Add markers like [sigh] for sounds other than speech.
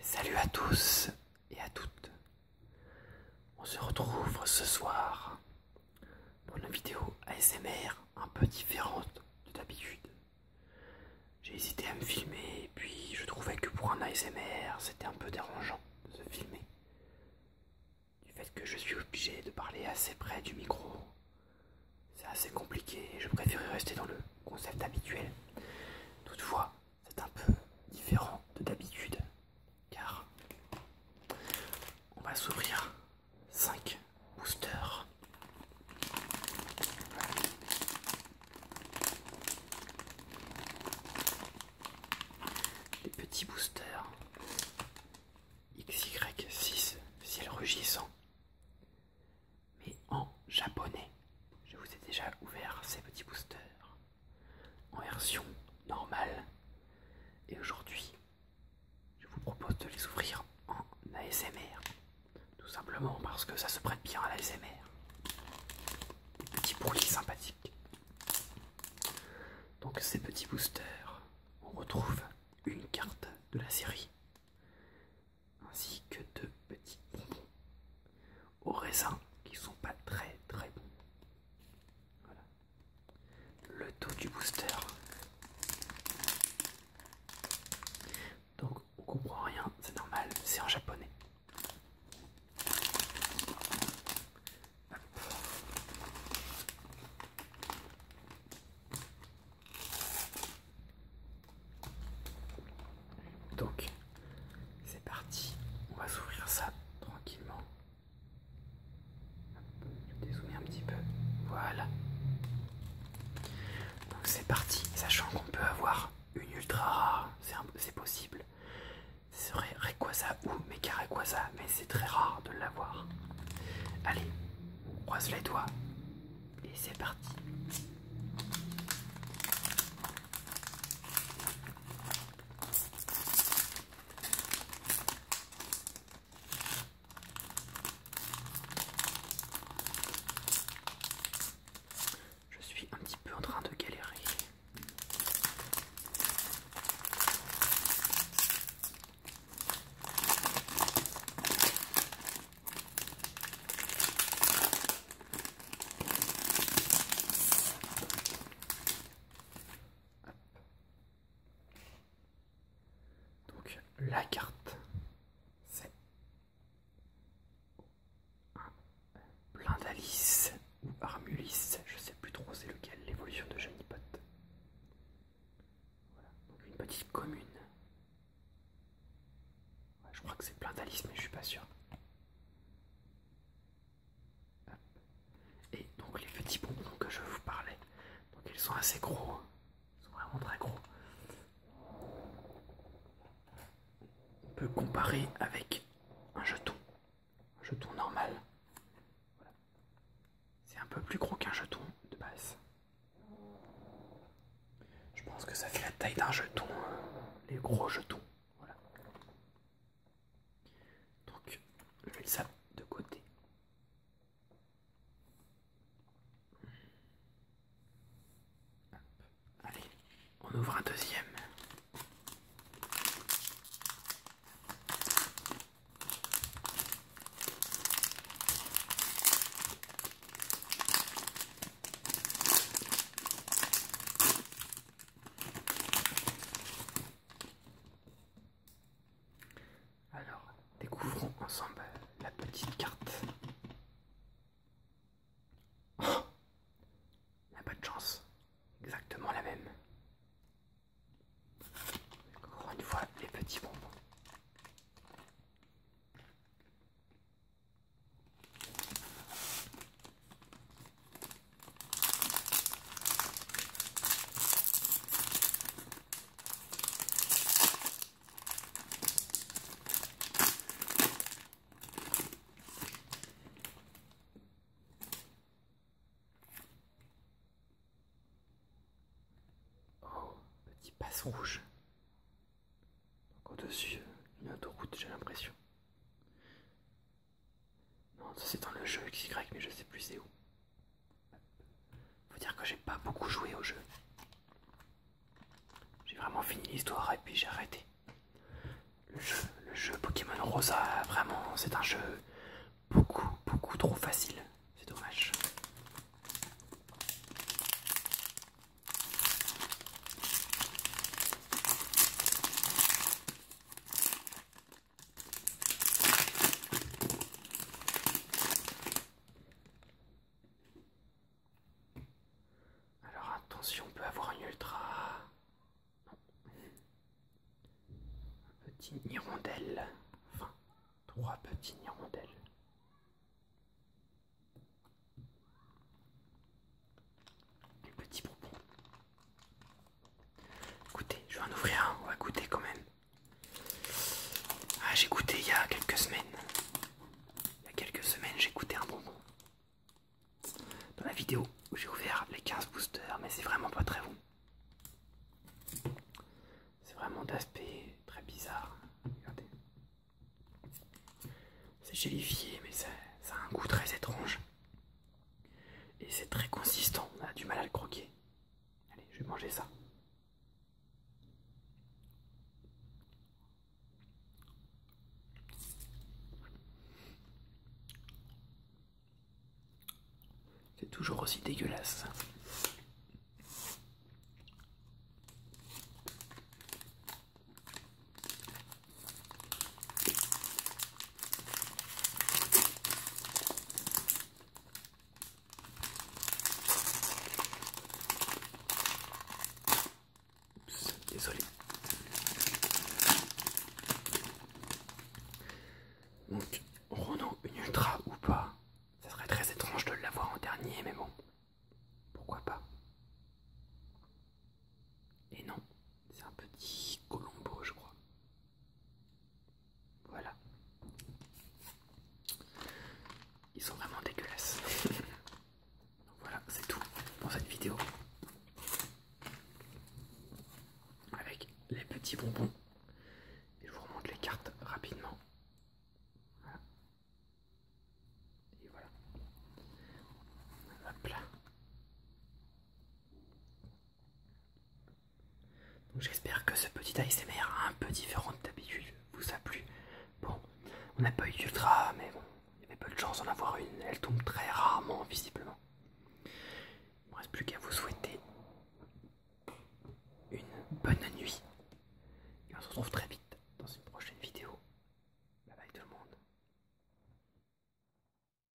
Salut à tous et à toutes. On se retrouve ce soir pour une vidéo ASMR un peu différente de d'habitude. J'ai hésité à me filmer et puis je trouvais que pour un ASMR c'était un peu dérangeant de se filmer du fait que je suis obligé de parler assez près du micro. C'est assez compliqué et je préférais rester dans le concept habituel. Toutefois, c'est un peu différent de d'habitude car on va s'ouvrir 5 boosters. Les petits boosters XY6 ciel rugissant. Mais en japonais, je vous ai déjà ouvert ces petits boosters en version normale. Et aujourd'hui, je vous propose de les ouvrir en ASMR. Tout simplement parce que ça se prête bien à l'ASMR. petit petits sympathique sympathiques. Donc ces petits boosters, on retrouve une carte de la série, ainsi que deux petits bonbons aux raisins qui sont pas très très bons. Voilà. Le taux du booster. Donc on comprend rien, c'est normal, c'est en japonais. Donc, c'est parti. On va s'ouvrir ça tranquillement. Je vais dézoomer un petit peu. Voilà. Donc c'est parti. Sachant qu'on peut avoir une ultra rare, c'est possible serait Rayquaza ou Mekaraquaza, mais c'est très rare de l'avoir. Allez, croise les doigts et c'est parti. Je suis un petit peu en train de galérer. Donc la carte, c'est d'Alice, ou Armulis, je sais plus trop c'est lequel, l'évolution de Janipot. Voilà, donc une petite commune. je crois que c'est Plein d'Alice, mais je suis pas sûr. Et donc les petits bonbons que je vous parlais, donc ils sont assez gros, hein. ils sont vraiment très gros on peut comparer avec un jeton, un jeton normal. C'est un peu plus gros qu'un jeton de base. Je pense que ça fait la taille d'un jeton, hein. les gros jetons. Donc, je vais ça de côté. Allez, on ouvre un deuxième. Alors, découvrons ensemble la petite carte a pas de chance. Exactement la même. Encore une fois, les petits bonbons. Oh, petit pass rouge. Au-dessus, une autoroute, j'ai l'impression. Non, c'est dans le jeu XY, mais je sais plus c'est où. Faut dire que j'ai pas beaucoup joué au jeu. J'ai vraiment fini l'histoire et puis j'ai arrêté. Le jeu, le jeu Pokémon Rosa, vraiment, c'est un jeu beaucoup, beaucoup trop facile. C'est dommage. Alors attention, on peut avoir une ultra. Un petit hirondelle. Enfin, trois petits hirondelles. Petit bonbon. Écoutez, je vais en ouvrir un, on va goûter quand même. Ah, j'ai goûté il y a quelques semaines. Il y a quelques semaines, j'ai goûté un bonbon. Dans la vidéo où j'ai ouvert les 15 boosters, mais c'est vraiment pas très bon. C'est vraiment d'aspect très bizarre. C'est gélifié, mais ça, ça a un goût très étrange. Et c'est très consistant, on a du mal à le croquer. Allez, je vais manger ça. C'est toujours aussi dégueulasse. Oups, désolé. Donc, Renault, une ultra ou pas Ça serait très étrange de l'avoir en dernier, mais bon, pourquoi pas Et non, c'est un petit Colombo, je crois. Voilà. Ils sont vraiment dégueulasses. [laughs] voilà, c'est tout pour cette vidéo. Avec les petits bonbons. je vous remonte les cartes rapidement. Voilà. Et voilà. J'espère que ce petit ASMR un peu différent de d'habitude vous a plu. Bon, on n'a pas eu d'ultra, mais bon, il y avait peu de chance d'en avoir une. Elle tombe très rarement, visiblement. Il ne me reste plus qu'à vous souhaiter une bonne nuit. Et on se retrouve très vite dans une prochaine vidéo. Bye bye tout le monde.